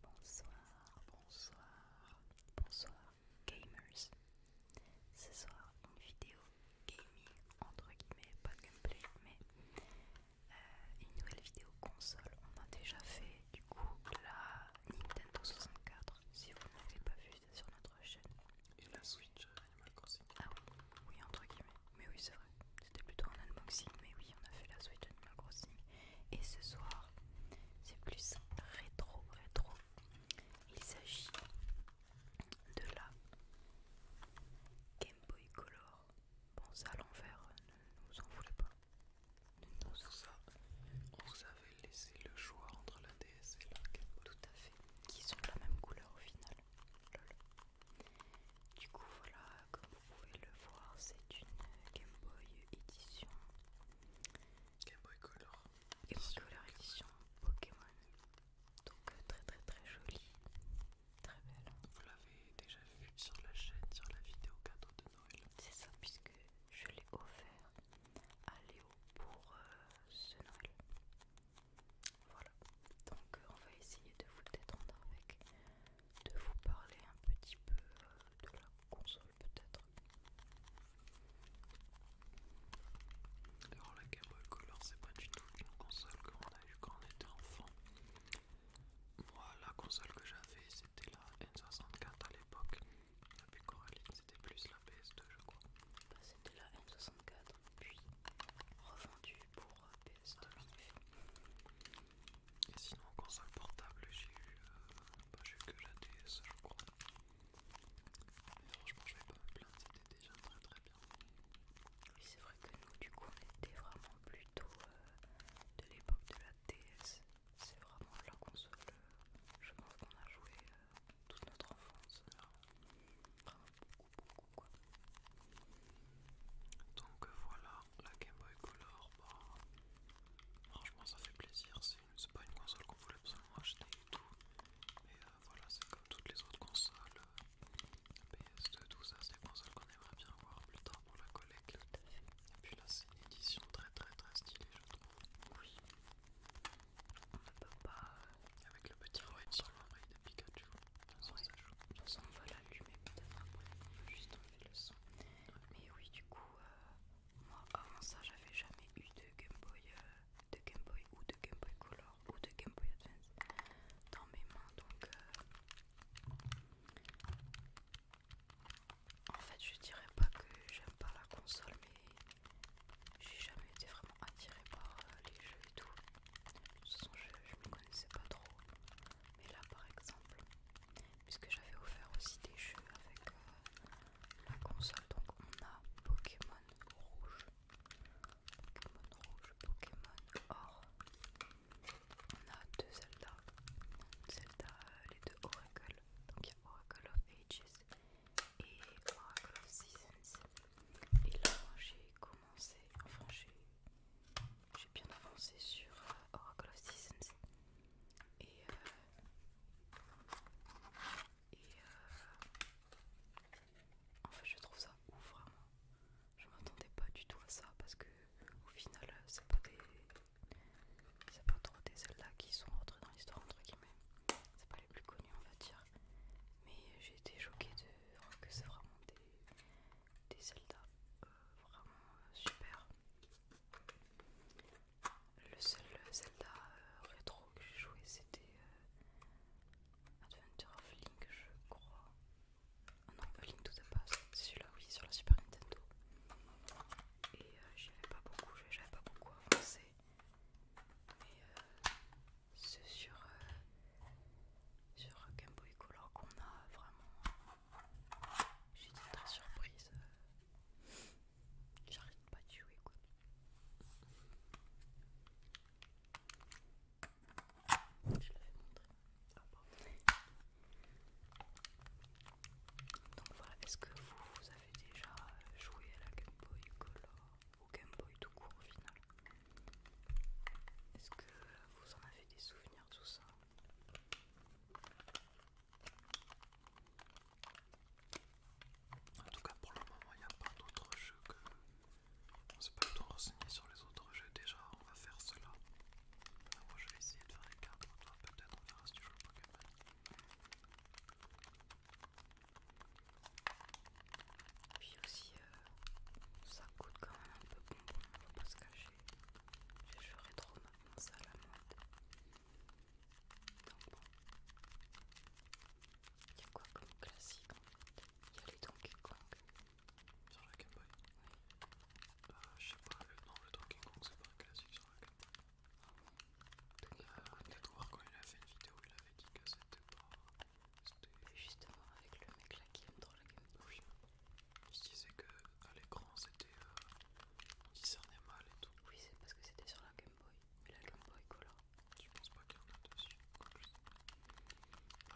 Bonsoir, bonsoir, bonsoir gamers. Ce soir une vidéo gaming entre guillemets, pas de gameplay, mais euh, une nouvelle vidéo console. On a déjà fait du coup la Nintendo 64. Si vous ne l'avez pas vu, c'est sur notre chaîne. Et la Switch Animal euh, Crossing. Ah oui, oui entre guillemets. Mais oui c'est vrai. C'était plutôt un unboxing, mais oui on a fait la Switch Animal Crossing. Et ce soir, c'est plus rétro rétro. Il s'agit de la Game Boy Color. Bon ça à l'envers, euh, ne vous en voulez pas. ça, vous avez laissé le choix entre la DS et la Game Boy. Tout à fait. Qui sont de la même couleur au final. Lol. Du coup voilà, comme vous pouvez le voir, c'est une Game Boy édition. Game Boy Color. Game Boy Color édition Pokémon. Donc euh, très très très jolie, très belle. Vous l'avez déjà vu sur la chaîne, sur la vidéo cadeau de Noël. C'est ça, puisque je l'ai offert à Léo pour euh, ce Noël. Voilà, donc euh, on va essayer de vous détendre avec, de vous parler un petit peu euh, de la console peut-être. Alors la Game Boy Color c'est pas du tout une console qu'on a eu quand on était enfant. Moi la console que j'avais c'était la N64 à l'époque. Depuis Coraline c'était plus la PS2 je crois. Bah, c'était la N64 puis revendue pour euh, et sinon console portable j'ai eu, euh, bah, que la DS je crois mais franchement je vais pas me plaindre c'était déjà très très bien oui c'est vrai que nous du coup on était vraiment plutôt euh, de l'époque de la DS c'est vraiment la console je pense qu'on a joué toute notre enfance donc euh, voilà, la Game Boy Color, bah, franchement ça fait plaisir, c'est pas une console qu'on voulait absolument acheter et tout, mais euh, voilà, c'est comme toutes les autres consoles, euh, PS2, tout ça, c'est des consoles qu'on aimerait bien voir plus tard pour la collecte. Et puis là c'est une édition très très très stylée je trouve. Oui. On ne pas... Avec le petit roi sur le l'oreille de Pikachu on va l'allumer peut-être après, on juste enlever le son. Mais oui, du coup, euh, moi avant ça, j'avais jamais eu de Game Boy, euh, de Game Boy ou de Game Boy Color ou de Game Boy Advance dans mes mains, donc euh, en fait, je dirais pas que j'aime pas la console, mais j'ai jamais été vraiment attirée par les jeux tout. De toute façon, je me connaissais pas trop. Mais là, par exemple, puisque j'avais offert aussi des jeux avec euh, la console, donc on a Pokémon rouge, Pokémon rouge, Pokémon or. On a deux Zelda, Zelda euh, les deux Oracle, donc il y a Oracle of Ages et Oracle of Seasons. Et là, j'ai enfin j'ai bien avancé sur euh, Oracle of Seasons et, euh, euh, en fait je trouve ça ouf vraiment. Je m'attendais pas du tout à ça parce que au final c'est pas des c'est pas trop des Zelda qui sont rentrés dans l'histoire entre guillemets. C'est pas les plus connus on va dire. Mais j'ai été choquée de voir hein, que c'est vraiment des, Zelda euh, vraiment euh, super. Le seul euh, Zelda rétro que j'ai joué c'était Adventure of Link, je crois. Ah non, Link tout à passe, c'est celui-là, oui, sur la Super Nintendo. Et j'y avais pas beaucoup, j'avais pas beaucoup avancé. Mais euh, c'est sur, Game euh, Boy Color qu'on a vraiment. J'étais très surprise. Euh. J'arrête pas de jouer quoi. Je l'avais montré. Ah, Donc voilà, est-ce que vous, vous avez déjà joué à la Game Boy Color ou Game Boy tout court au final est-ce que vous en avez des souvenirs, tout ça En tout cas, pour le moment, il n'y a pas d'autres jeux que. On s'est pas tout renseigné sur les autres jeux. Déjà, on va faire cela. moi, je vais essayer de faire les cartes. Peut-être on verra si tu joues le Pokémon. Puis aussi, euh, ça coûte quand même un peu bon faut pas se cacher. Je joué trop maintenant ça à la mode. Donc bon. Il y a quoi comme classique en Il y a les Donkey Kong. Sur la Game Boy Oui. Bah, je sais pas, le, non, le Donkey Kong c'est pas classique sur la Game Boy. Ah bon a quand il a fait une vidéo, il avait dit que c'était pas juste justement avec le mec là qui est trop la Game Boy. Il disait que à l'écran c'était discerné euh, on discernait mal et tout. Oui c'est parce que c'était sur la Game Boy. et la Game Boy Color. Tu penses pas qu'il y en a dessus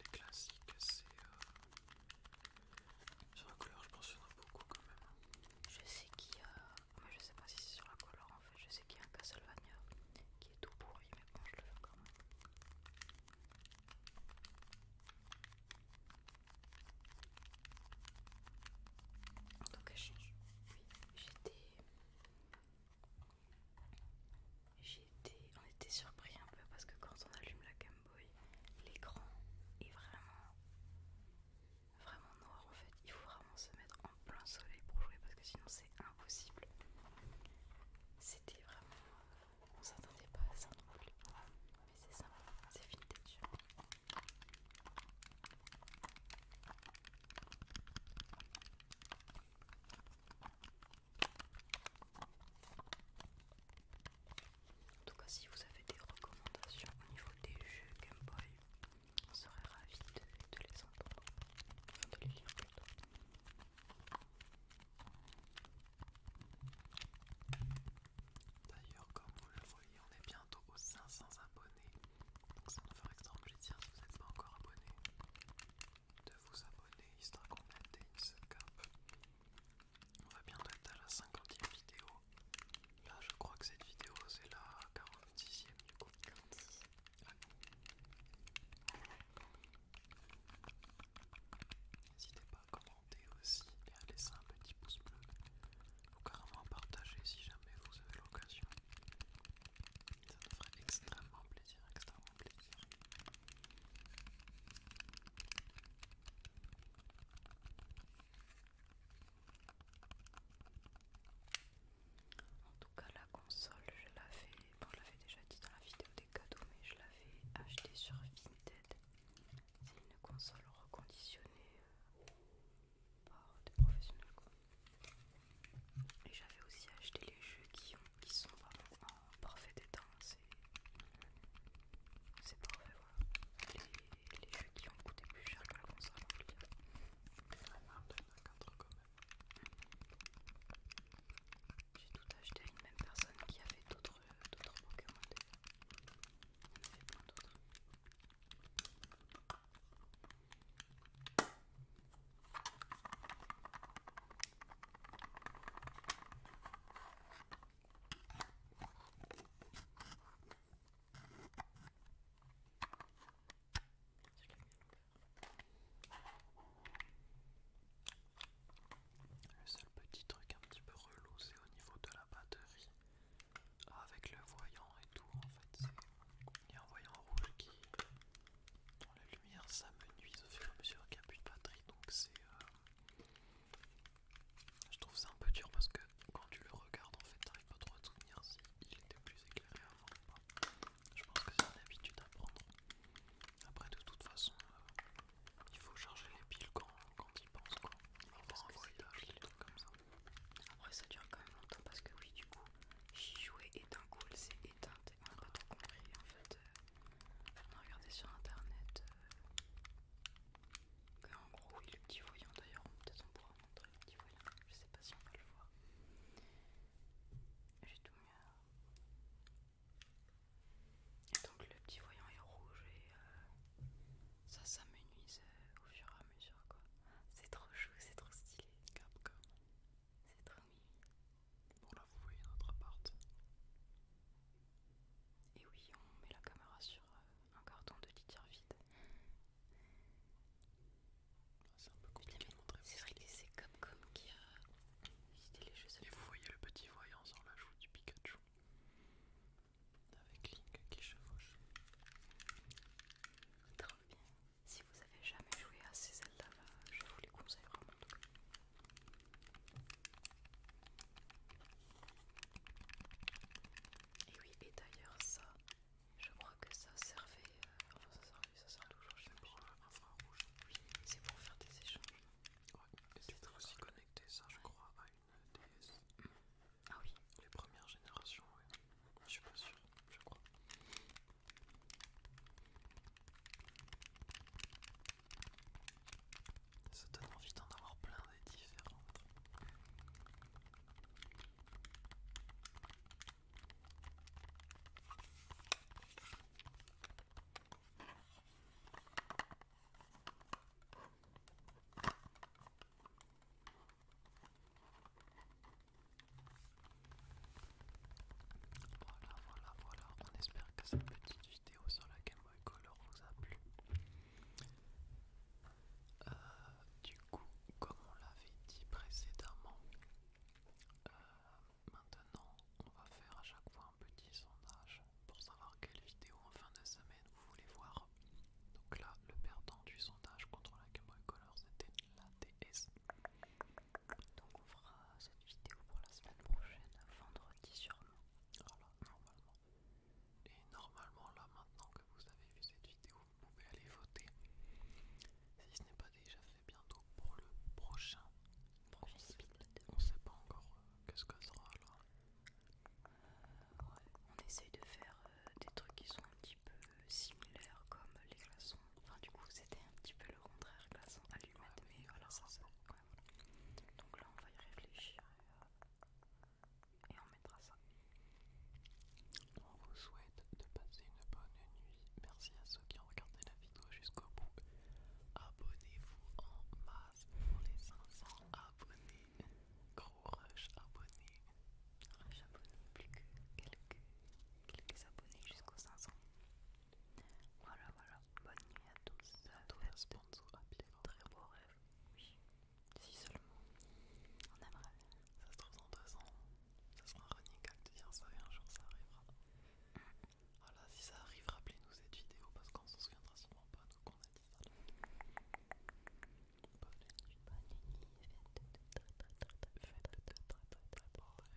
Les classiques c'est euh, sur la couleur je pense qu'il y en a beaucoup quand même. Hein. Je sais qu'il y a. je sais pas si c'est sur la couleur en fait. Je sais qu'il y a un Castlevania qui est tout pourri mais bon je le fais quand même. Donc je change. j'étais. J'étais. On était surpris un peu parce que quand on allume la Game Boy, l'écran est vraiment. Vraiment noir en fait. Il faut vraiment se mettre en plein soleil pour jouer parce que sinon c'est impossible c'était vraiment. Euh, on s'attendait pas à ça non plus. Mais c'est ça, c'est vintage. En tout cas, si vous avez des recommandations au niveau des jeux Game Boy, on serait ravis de, les entendre. D'ailleurs, comme vous le voyez, on est bientôt aux 500 abonnés. Donc ça me ferait extrêmement plaisir si vous n'êtes pas encore abonné de vous abonner histoire qu'on atteigne ce cap. On va bientôt être à la 50e vidéo. Là, je crois que cette vidéo c'est la 46e du coup. N'hésitez pas à commenter aussi et à laisser un petit pouce bleu ou carrément à partager si jamais vous avez l'occasion. Ça me ferait extrêmement plaisir, extrêmement plaisir. En tout cas, la console, je l'avais, je l'avais déjà dit dans la vidéo cadeau mais je l'avais acheté sur Vinted. C'est une console reconditionnée euh, par des professionnels Et j'avais aussi acheté les jeux qui, ont, qui sont vraiment en parfait état. Hein, c'est parfait voilà. Les, jeux qui ont coûté plus cher que la console en peut dire. un j'ai tout acheté à une même personne qui a fait d'autres d'autres. Le seul petit truc un petit peu relou, c'est au niveau de la batterie. Ah, avec le voyant et tout, en fait, il y a un voyant rouge qui, dans la lumière, ça me nuise au fur et à mesure qu'il n'y a plus de batterie. Donc, c'est. Euh, je trouve ça un peu dur parce que quand tu le regardes, en fait, t'arrives pas trop à te souvenir s'il était plus éclairé avant ou pas. Je pense que c'est une habitude à prendre. Après, de toute façon, euh, il faut charger les piles quand, quand il pense quoi. Il parce un voyage, comme ça. après ça dure quand même longtemps parce que, oui, du coup, j'y jouais et cool, c'est éteint s'est On n'a pas trop compris en fait. Euh, on a regardé sur internet. Euh, qu'en en gros, oui, le petit voyant d'ailleurs, peut-être on pourra montrer le petit voyant. Je sais pas si on va le voir. J'ai tout mis à... Donc le petit voyant est rouge et euh, ça s'amenuise euh, au fur et à mesure quoi. C'est trop chou, c'est trop stylé. Capcom. C'est trop mimi. Bon là vous voyez notre appart. Et oui, on met la caméra sur euh, un carton de litière vide. Ah, c'est un peu compliqué de montrer. C'est vrai que c'est Capcom qui a et vous voyez le petit voyant sur la joue du Pikachu. Avec Link qui chevauche. Trop bien. Si vous avez jamais joué à ces Zelda là, je vous les conseille vraiment. Et oui, et d'ailleurs ça, je crois que ça servait, euh, enfin ça servait, ça sert pour oui C'est pour faire des échanges. Ouais, et tu peux aussi connecté connecter ça, je crois, à une DS. Ah oui Les premières générations, Je suis pas sûr, je crois. Ça donne envie d'en avoir plein des différentes. Voilà, voilà, voilà. On espère que cette petite vidéo sur la Game Boy Color vous a plu. Euh, du coup, comme on l'avait dit précédemment, euh, Maintenant, on va faire à chaque fois un petit sondage pour savoir quelle vidéo en fin de semaine vous voulez voir. Donc là, le perdant du sondage contre la Game Color, c'était la DS. Donc on fera cette vidéo pour la semaine prochaine, vendredi sûrement. Voilà, normalement. Et normalement, là, maintenant que vous avez vu cette vidéo, vous pouvez aller voter. Si ce n'est pas déjà fait bientôt pour le prochain. Prochain On sait pas encore euh, qu'est-ce que ça sera là. On essaye de faire euh, des trucs qui sont un petit peu similaires comme les glaçons. Enfin du coup c'était un petit peu le contraire glaçons, allumés mais, voilà ça ça. Donc là on va y réfléchir euh, et on mettra ça. On vous souhaite de passer une bonne nuit. Merci à ceux qui ont regardé la vidéo jusqu'au bout. Abonnez-vous en masse pour les 500 abonnés. Gros rush abonnés. Rush abonnés, plus que quelques, quelques abonnés jusqu'aux 500. Voilà, voilà. Bonne nuit à tous. Bientôt un vous à Pierre. Très beaux rêve. Oui. Si seulement. On aimerait. Ça se trouve en deux ans. Ça sera un running de dire ça un jour ça arrivera. Mm. Voilà, si ça arrive, rappelez-nous cette vidéo parce qu'on se souviendra sûrement pas, donc qu'on a dit ça. Bonne nuit, bonne nuit, faites de très très très faites de très très très très beaux rêves.